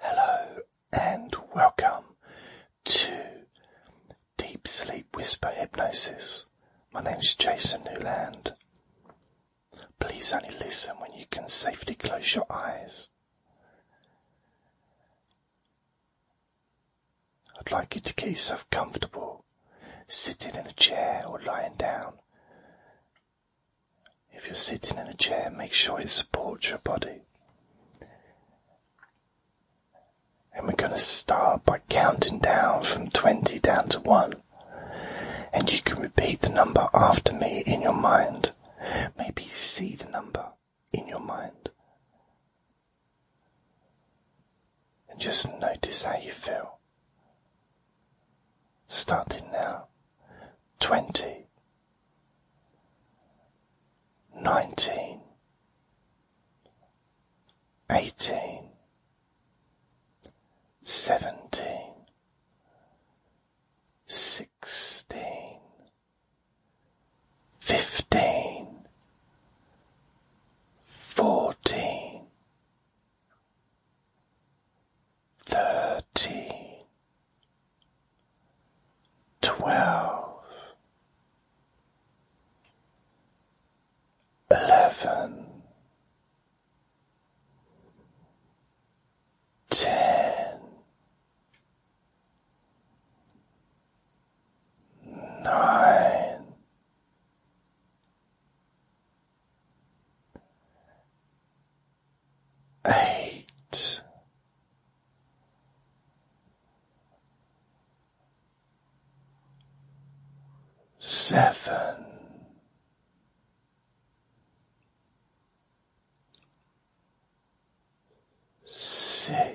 Hello and welcome to Deep Sleep Whisper Hypnosis. My name is Jason Newland. Please only listen when you can safely close your eyes. I'd like you to get yourself comfortable, sitting in a chair or lying down. If you're sitting in a chair, make sure it supports your body. And we're going to start by counting down from 20 down to 1. And you can repeat the number after me in your mind. Maybe see the number in your mind. And just notice how you feel. Starting now. 20 nineteen, eighteen, seventeen, sixteen, fifteen, fourteen thirteen, twelve, eleven, ten, nine eight, seven, six,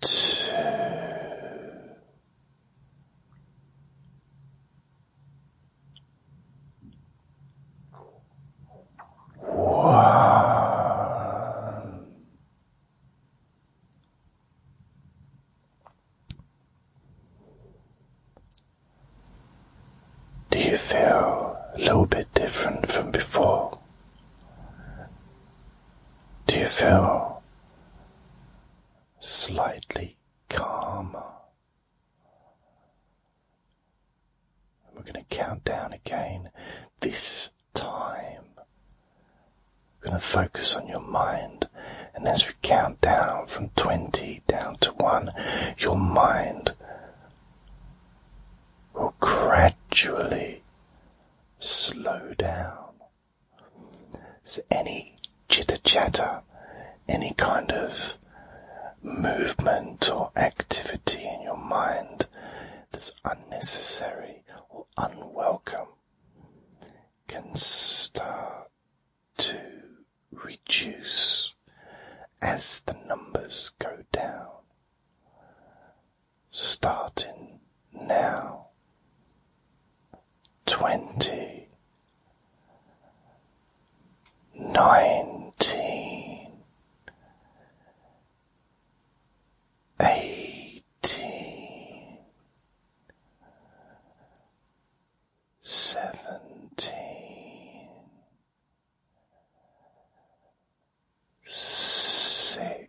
two, one. Do you feel a little bit different from before? Do you feel slightly calmer? We're going to count down again. This time, we're going to focus on your mind. And as we count down from 20 down to 1, your mind will gradually slow down so any chitter chatter, any kind of movement or activity in your mind that's unnecessary or unwelcome can start to reduce as the numbers go down starting now. Twenty, nineteen, eighteen, seventeen, six.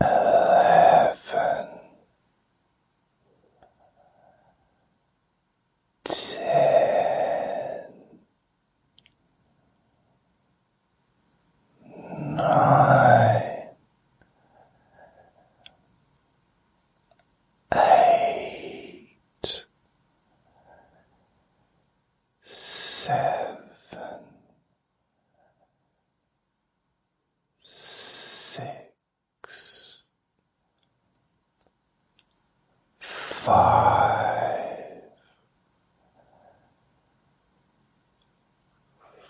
eleven, ten, nine, eight seven, six, five,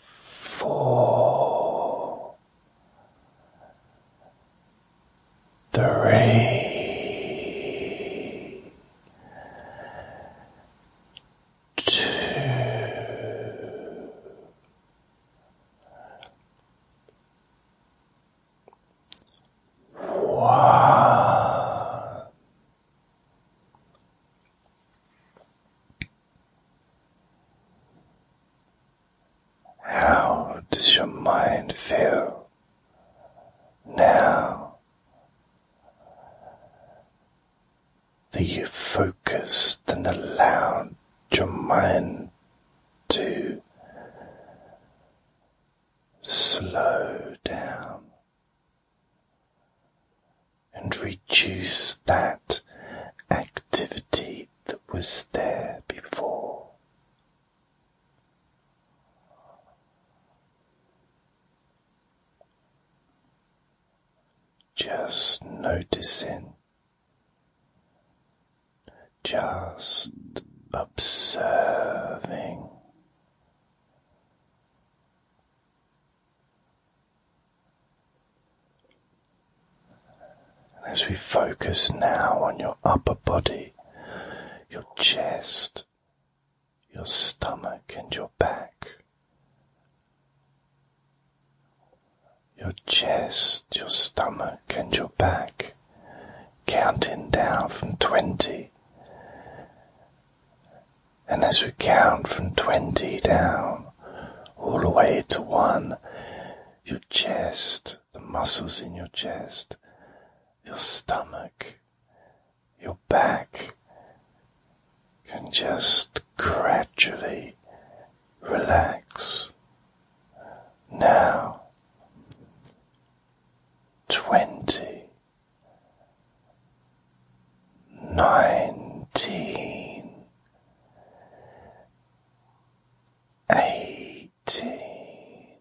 four, three, two, one. How does your mind feel? Now that you've focused and allowed your mind to slow down and reduce that activity that was there before. Just noticing, just observing. As we focus now on your upper body, your chest, your stomach, and your back. Your chest, your stomach, and your back, counting down from 20. And as we count from 20 down, all the way to 1, your chest, the muscles in your chest, your stomach, your back can just gradually relax. Now, twenty, nineteen, eighteen. 17,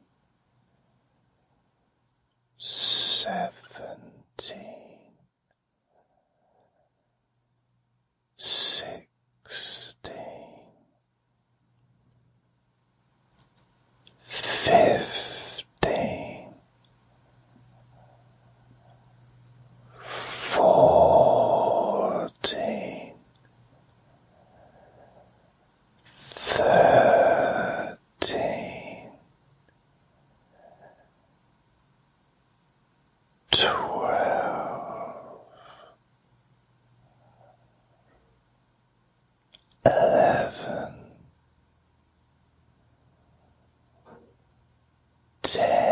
16, 15, 14 thirteen, twelve, eleven, ten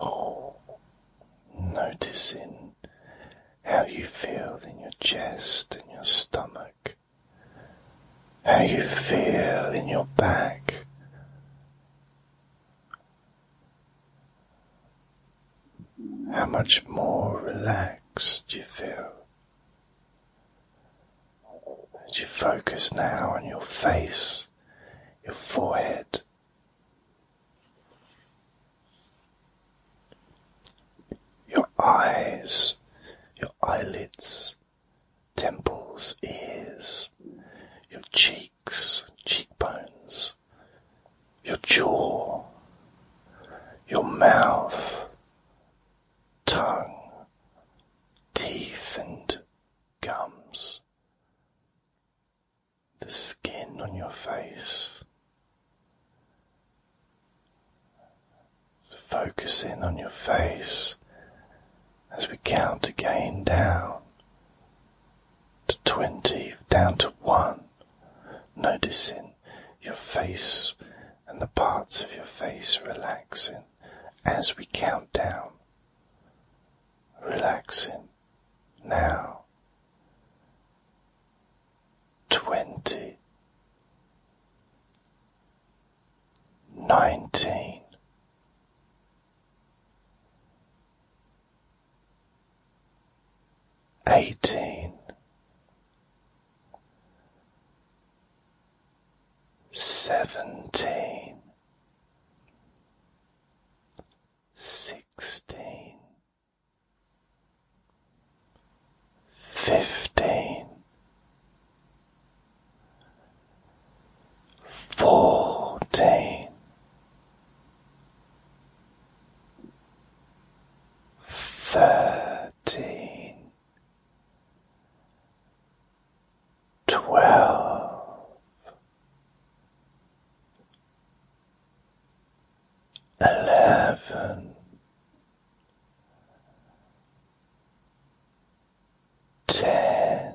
Oh, noticing how you feel in your chest and your stomach, how you feel in your back. How much more relaxed you feel? And you focus now on your face, your forehead. Your eyes, your eyelids, temples, ears, your cheeks, cheekbones, your jaw, your mouth, tongue, teeth, and gums, the skin on your face. Focus in on your face as we count again down to 20, down to 1 noticing your face and the parts of your face relaxing as we count down. Relaxing now. Twenty. Nineteen eighteen, seventeen, sixteen, fifteen, fourteen thirteen, twelve, eleven, ten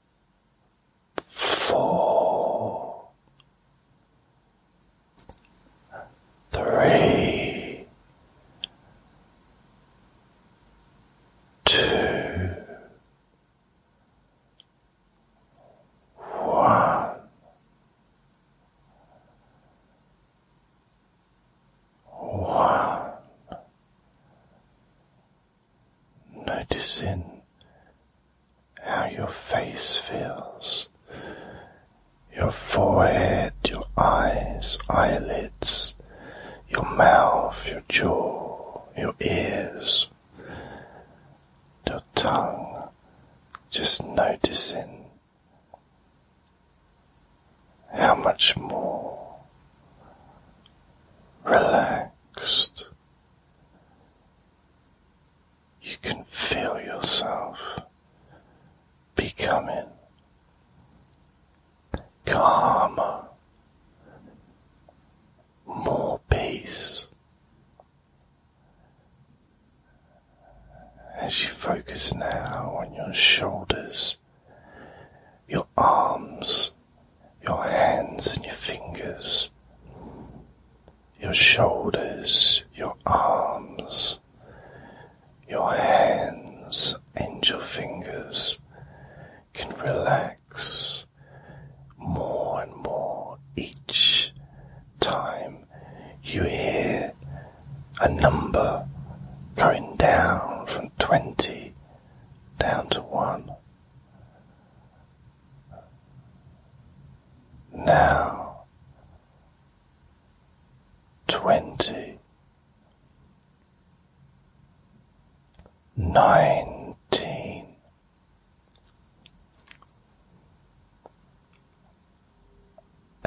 four, three, two, noticing how your face feels, your forehead, your eyes, eyelids, your mouth, your jaw, your ears, your tongue, just noticing how much more relaxed relaxed. You can feel yourself becoming calmer, more peace as you focus now on your shoulders your arms, your hands and your fingers, your shoulders, your arms, your hands and your fingers can relax more and more each time you hear a number going down from 20 down to one. Now twenty nineteen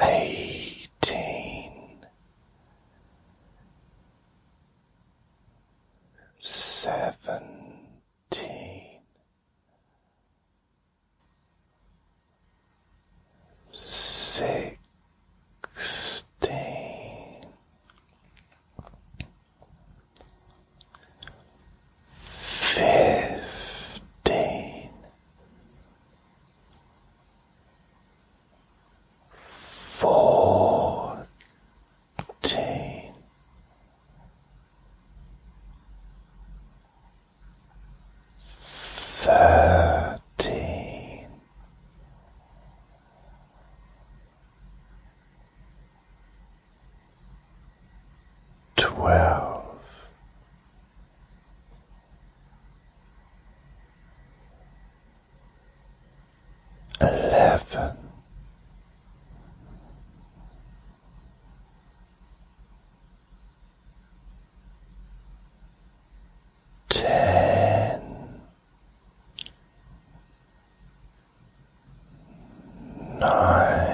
eighteen seventeen, sixteen, fifteen fourteen, thirteen, twelve. Eleven, ten, nine.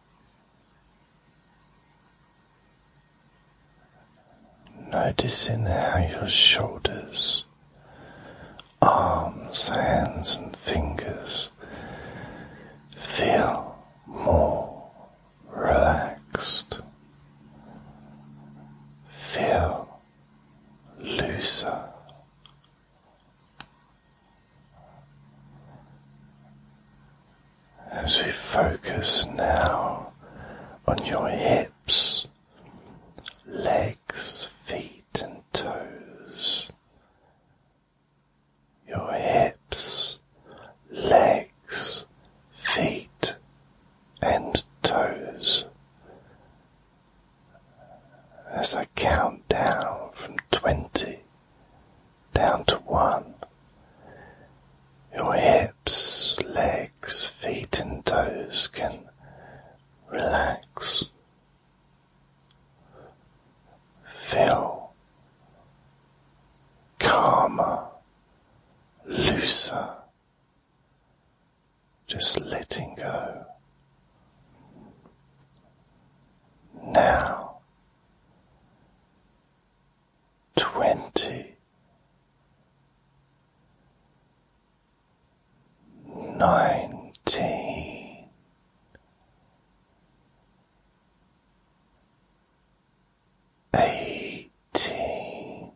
Noticing how your shoulders, arms, hands, and fingers feel more relaxed, feel looser, as we focus now on your hips, legs, feet, and toes. Your hips, legs, feet, and toes. As I count down from twenty down to one. Your hips, legs, feet, and toes can relax. Feel calmer, looser, just letting go. Now twenty nineteen eighteen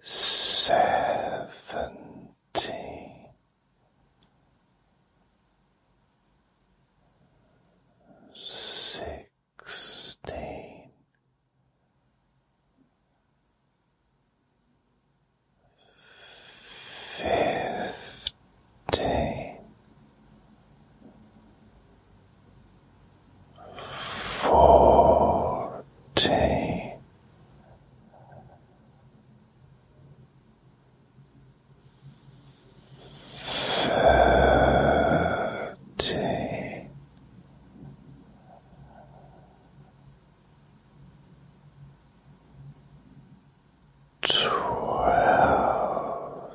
seventeen sixteen, fifteen, fourteen thirteen. Twelve,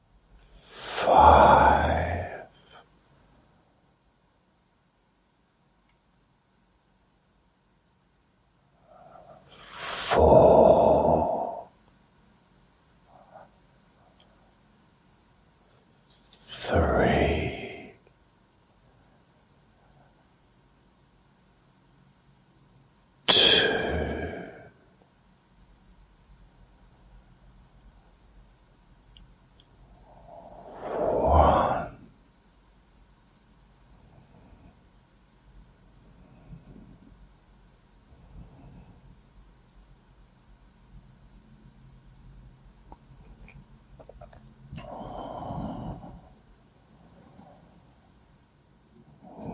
five, four, three, two,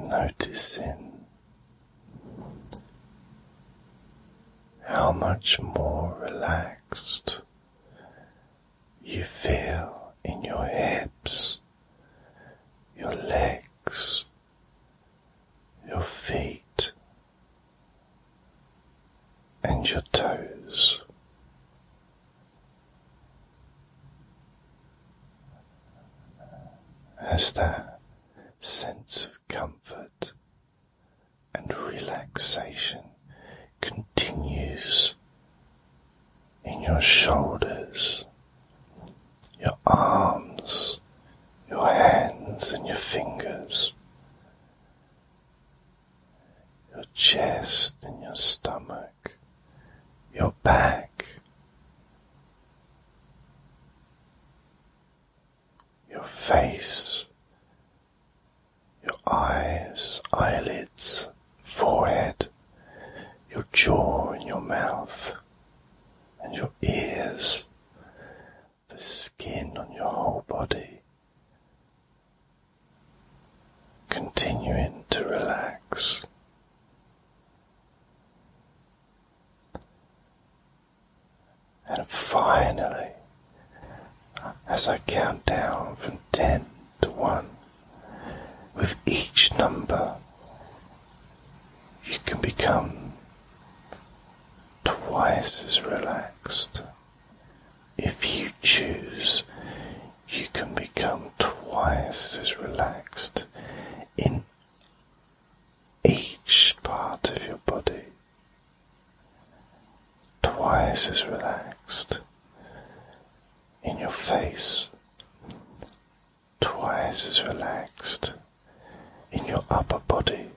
one. Noticing how much more relaxed you feel in your hips, your legs, your feet, and your toes. As that sense of comfort and relaxation continues in your shoulders, your arms, your hands and your fingers, your chest and your stomach, your back your face, your eyes, eyelids, forehead, your jaw and your mouth, and your ears, the skin on your whole body. Continuing to relax. And finally, as I count down from ten to one, with each number, you can become twice as relaxed. If you choose, you can become twice as relaxed in each part of your body twice as relaxed in your face, twice as relaxed in your upper body,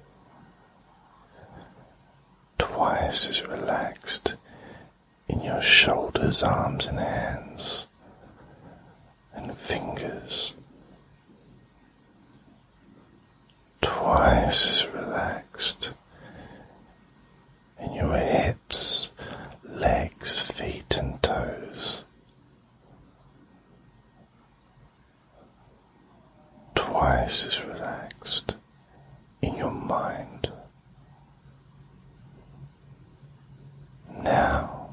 twice as relaxed in your shoulders, arms, and hands, and fingers twice as relaxed in your hips, legs, feet, and toes. Twice as relaxed in your mind. Now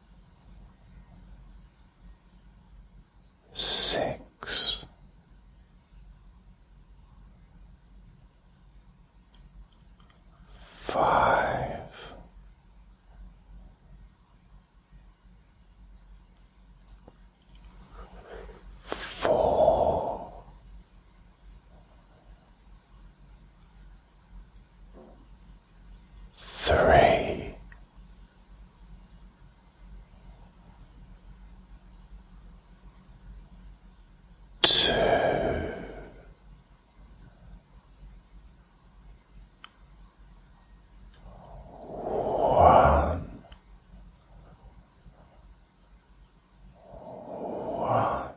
six, five, four three, two, one, one.